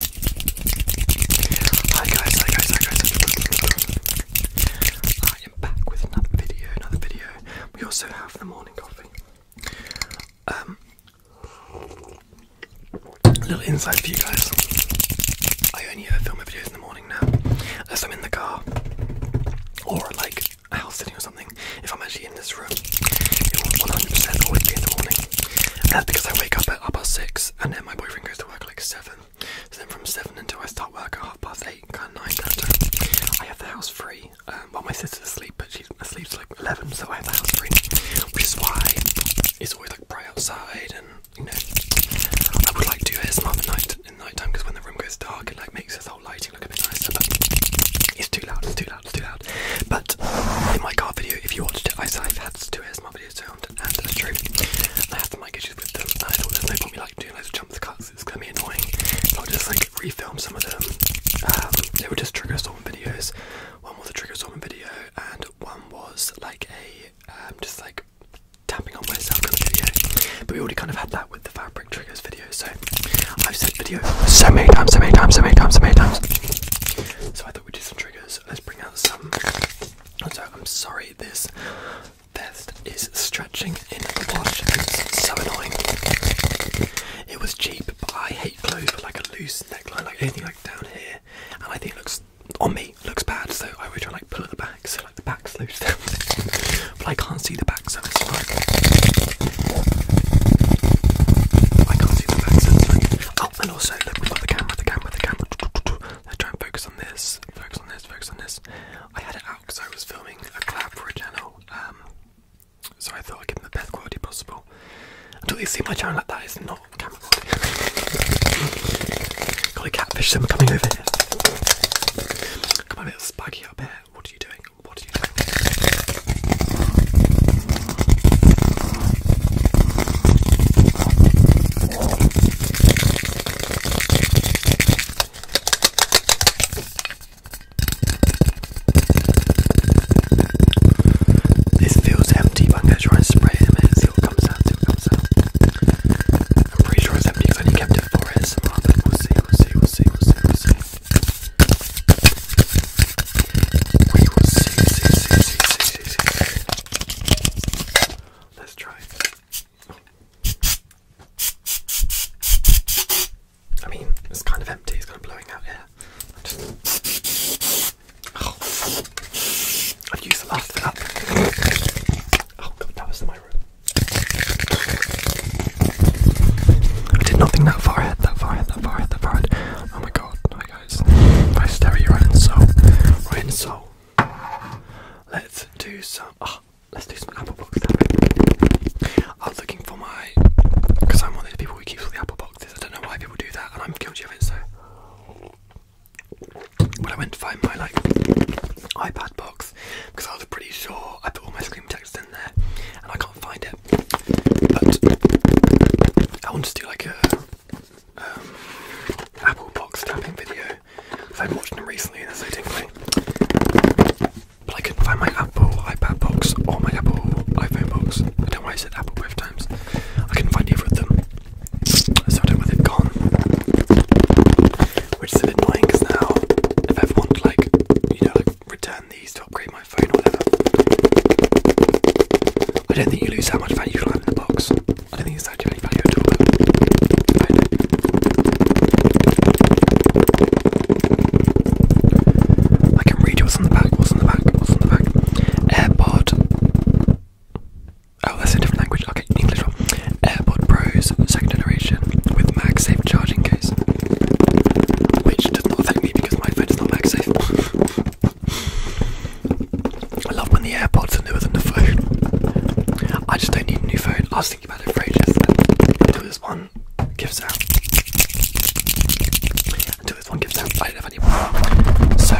Hi guys, hi guys, hi guys. I am back with another video, another video. We also have the morning coffee. Um a little insight for you guys. I only ever film my videos in the morning now. Unless I'm in the car or like a house sitting or something. If I'm actually in this room, it 100% always in the morning. that's because I wake up at half six and then my boyfriend goes to work like seven. So then from seven until I start work at half past eight, kind of nine. I have the house free. Um, While my sister's asleep, but she sleeps like eleven, so I have the house free, which is why he's always like bright outside, and you know, I would like to do ASMR at night in night time because when the room gets dark, it like makes this whole lighting look a bit nicer. But it's too loud. It's too loud. It's too loud. But in my car video, if you watched it, I said I've had two ASMR video sound and I have some issues with them and I thought there's no point me like doing loads of cuts, it's gonna be annoying. I'll just like refilm some of them. Um, were just trigger storm videos. One was a trigger storm video and one was like a um, just like tapping on myself kind video. But we already kind of had that with the fabric triggers video, so I've said video so many times, so many times, so many times, so many times. So I thought we'd do some triggers let's bring out some. I'm sorry, this vest is stretching in the wash. It's so annoying. It was cheap, but I hate clothes like a loose neckline, like anything like down here, and I think it looks on me looks bad. So I would try and like pull at the back, so like the back's loose, but I can't see the back, so it's like I can't see the back, so it's like Oh, and also look, we've got the camera, the camera, the camera. Let's try and focus on this, focus on this, focus on this. I had it out because I was filming a clap for a channel, um, so I thought I'd give the best quality possible. Until you see my channel like that, it's not camera quality. got a catfish swimmer coming over here. Come on, little spaggy up here. What are you doing? What are you doing? This feels empty, but I'm going to try and spray it a minute and see what comes out, see what comes out. I'm pretty empty because kept it for it, we'll see, we'll see, we'll see, we'll see, we'll see. We will see, see, see, see, see, see, see. Let's try I mean, it's kind of empty, it's kind of blowing out air. Just... Oh. I've used the last of that. Oh god, that was in my room. I did not think that far ahead, that far that far ahead, that far Oh my god, guys. I stare at soul. Right soul. Let's do some. Oh, let's do some apple box I was looking for my. Because I'm one of those people who keeps all the apple boxes. I don't know why people do that, and I'm guilty of it, so. When I went to find my like iPad box, because I was pretty sure I put all my screen text in there, and I can't find it. But I want to do like a um, Apple box tapping video. I've watched them recently and they're so But I couldn't find my Apple iPad box or my Apple iPhone box. I don't know why I said Apple both times. I couldn't find either of them. So I don't know where they've gone. Which is annoying because now if I like, you know, like return these to upgrade my phone or whatever, I don't think you lose that much value line in the box. I don't think it's actually any value at all. I I can read what's on the back. What's on the back? What's on the back? AirPod. Oh, that's a different language. Okay, English one. AirPod Pros, second generation, with MagSafe charging case, which does not affect me because my phone is not MagSafe. I love when the AirPods are newer than the phone. I just don't need a new phone. I was thinking about it for ages until this one gives out. Until this one gives out, I don't have any more. So,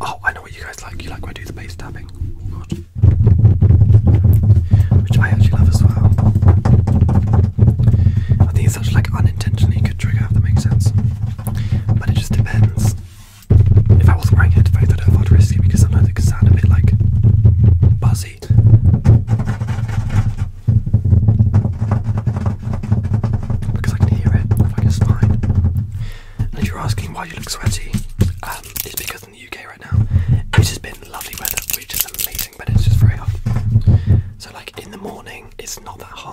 oh, I know what you guys like. You like when I do the bass tapping, oh, God. which I actually love as well. I think it's such like unintentionally good trigger. If that makes sense. But it just depends. If I was wearing headphones, I thought not I'd risk it because sometimes it can sound a bit like buzzy. Because I can hear it, I think fine. And if you're asking why you look sweaty, um, it's because in the UK right now, it has been lovely weather, which is amazing, but it's just very hot. So like in the morning, it's not that hot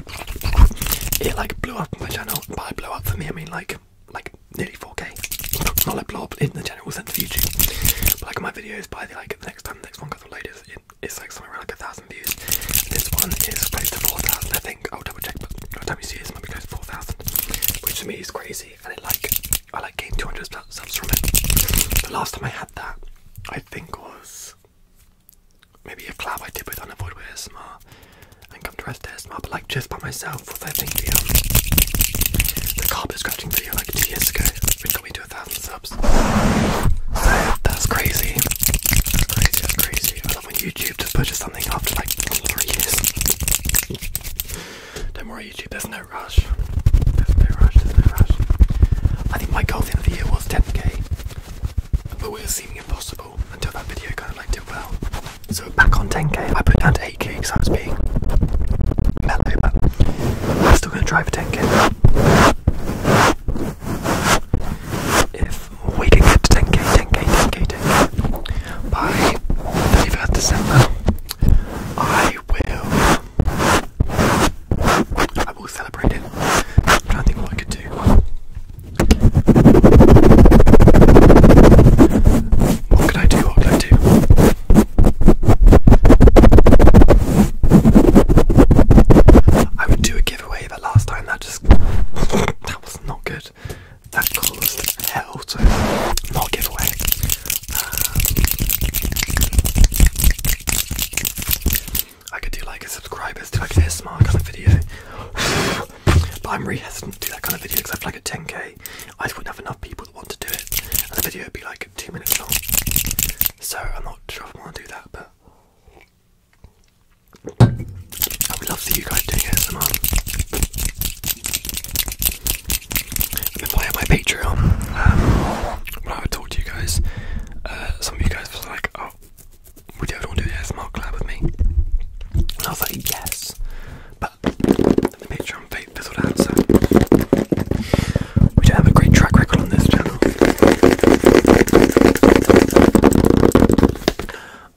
it like blew up my channel. By blow up for me, I mean like like nearly 4k. Not like blow up in the general sense of YouTube, like my videos by the like the next time the next one got the latest. it's like somewhere around like a thousand views. This one is close to 4,000, I think. I'll double check, but by the time you see this, it might be close to 4,000, which to me is crazy. And it like I like gained 200 subs from it. The last time I had that, I think was maybe a collab I did with Unavoidable ASMR and Come to Rest ASMR, but like just by myself with I think the, um, the carpet scratching video like two years ago, which got me to a thousand subs. that's crazy. That's crazy, that's crazy. I love when YouTube just pushes something after like three years. Don't worry YouTube, there's no rush. There's no rush, there's no rush. I think my goal in the year was 10k, but we are seeing. Possible until that video kind of liked it well. So back on 10k, I put down to 8k because I was being mellow, but I'm still going to try for 10k. If we can get to 10k, 10k, 10k, 10k by 31st December, I will. I will celebrate it. i don't think what I could do. What can I do? What can I do? I would do a giveaway, but last time that just that was not good. That caused hell, to not giveaway. Um, I could do like a subscribers, do like a small kind of video. but I'm really hesitant to do that kind of video because I feel like a 10k, I just wouldn't have enough people that want to do it. And the video would be like two minutes long. So I'm not sure if I want to do that, but I would love to see you guys doing it. I've playing my Patreon. Um, when I would talk to you guys, uh, some of you guys was like, oh, would you want do an ASMR collab with me? I was like, yes. But the picture on fizzled out, so we don't have a great track record on this channel.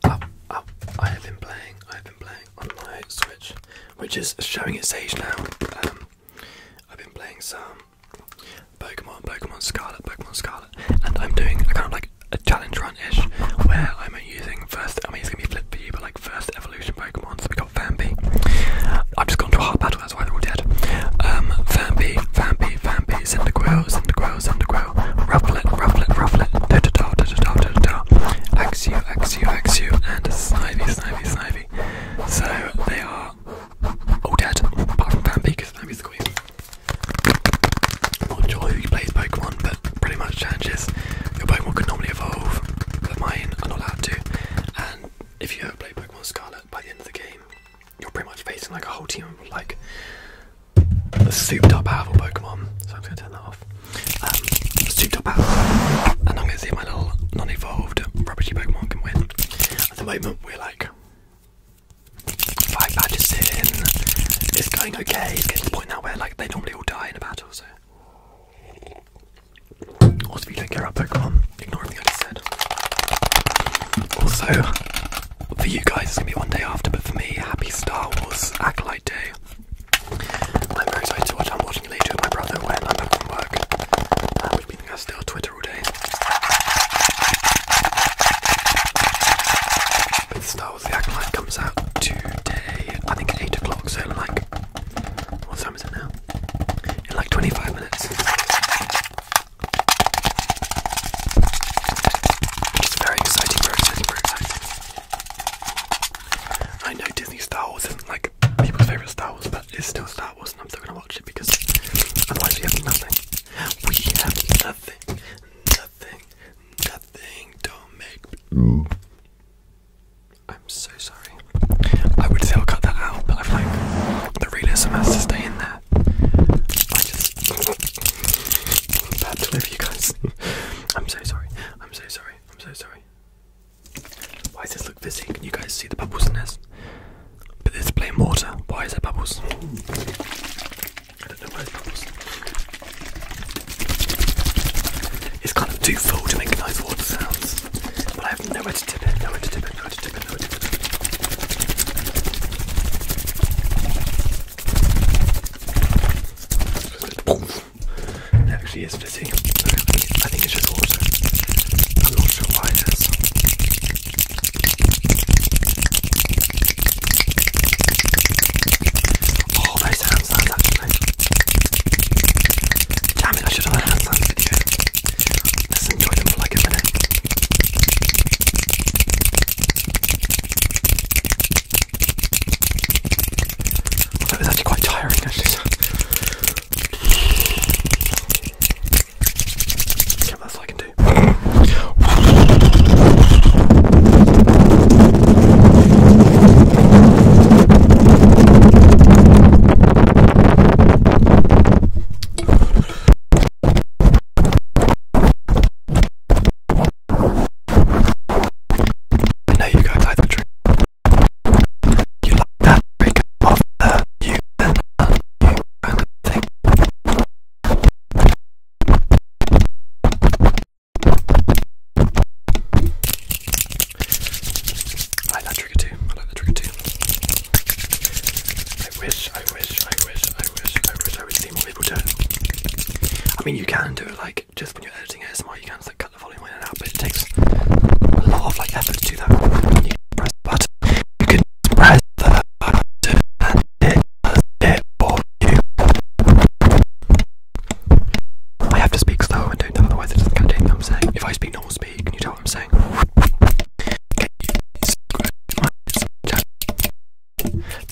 Oh, oh, I have been playing, I have been playing on my Switch, which is showing its age now. Um, I've been playing some Pokemon, Pokemon Scarlet, Pokemon Scarlet, and I'm doing a kind of like a challenge run-ish where I'm using first. I mean, it's gonna be flipped for you, but like first evolution Pokemon. So we got Fampi. I've just gone to a hard battle. That's why they're all dead. Um, Fampi, Fampi, Fampi, Cyndaquil, Cyndaquil, Cyndaquil, Rufflet, Rufflet, Rufflet, Totodile, Totodile, Totodile, Axew, Axew, Axew, and Snivy, Snivy, Snivy. So they are all dead apart from Fampi because Fampi's the queen not sure who plays Pokemon, but pretty much changes. Your Pokemon could normally evolve, but mine are not allowed to. And if you ever play Pokemon Scarlet, by the end of the game, you're pretty much facing like a whole team of like a souped up powerful Pokemon. So I'm gonna turn that off. Um, souped up powerful. And I'm gonna see if my little non evolved rubbishy Pokemon can win. At the moment, we're like Five badges in. It's going okay. It's getting to the point now where like they normally all die in a battle, so. Also, if you don't care about Pokemon, ignore everything I just said. Also, for you guys, it's gonna be one day after, but for me, happy Star Wars Acolyte Day. I'm very excited to watch. I'm watching it later with my brother when I'm back from work, uh, which means I still Twitter Star Wars The Act Light comes out today, I think at 8 o'clock, so like, what time is it now? In like 25 minutes. It's very exciting, very very exciting. I know Disney Star Wars isn't like people's favourite Star Wars, but it's still Star Wars and I'm still gonna watch it because otherwise we have nothing. We have nothing, nothing, nothing. Don't make. I'm so sorry. I would still cut that out, but I feel like the realism has to stay in there. I just bad to you guys. I'm so sorry. I'm so sorry. I'm so sorry. Why does this look fizzy? Can you guys see the bubbles in this? But it's plain water. Why is there bubbles? I don't know why there's bubbles. It's kind of too full to make nice water sounds. But I have nowhere to tip it, nowhere to tip it, nowhere to tip it, nowhere to tip it. It actually is fizzy. I think it's just water. I'm not sure why it is. Oh, those sound sounds actually. Damn it, I should have done a hand sounds video. Let's enjoy them for like a minute. Although it was actually quite tiring actually. So. Yeah, that's like Monday. I know you guys like the drink. You like that drink of the you and you kind of thing. I like that trigger too. I like that trigger too. I wish, I wish, I wish, I wish, I wish I would see more people do it. I mean, you can do it like just when you're editing ASMR, you can just like cut the volume in and out, but it takes a lot of like effort to do that. You can press the button, you can press the button, and I have to speak slow and do them, otherwise it doesn't contain what I'm saying. If I speak normal speed, can you tell what I'm saying?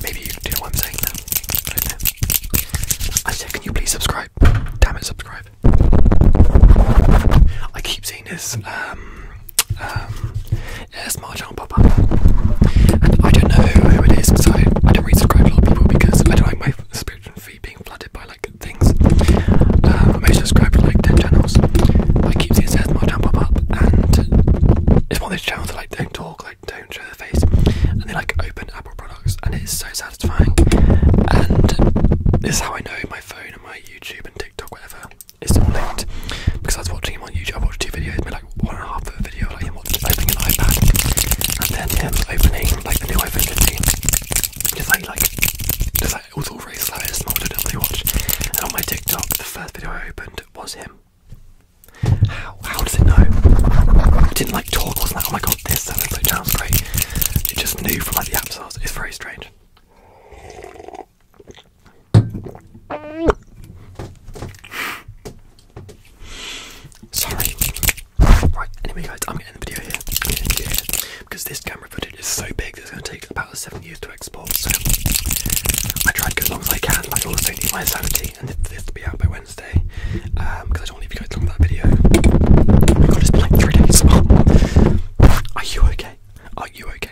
Maybe you can do what I'm saying now. I said, can you please subscribe? Damn it, subscribe. I keep seeing this um, um, Yes, Mahjong Papa. And I don't know who it is so I, don't really subscribe to a lot of people because I don't like my spirit and feed being flooded by like things. Um, I may subscribe to like 10 channels. I keep seeing Says Mahjong pop up and it's one of those channels that like don't talk, like don't show their face and they like open Apple products and it is so satisfying. And this is how I know my phone and my YouTube and TikTok, whatever, it's still linked because I was watching him on YouTube. I watched two videos, made like one and a half minute video, like him opening an iPad and then him opening like the new iPhone 15. Just like, like, it was all very slow, it's not what I normally watch. And on my TikTok, the first video I opened was him. How? How does it know? didn't like talk, wasn't like, oh my god, this sounds like sounds great. It just knew from like the app source. It's very strange. Sorry. Right, anyway guys, I'm gonna end the video here. Because this camera footage is so big that it's gonna take about seven years to export, so I tried as long as I can, but I also need my sanity and this to be out by Wednesday. Um because I don't want to leave you guys long that video. Oh my god, it's been like three days. Are you okay? Are you okay?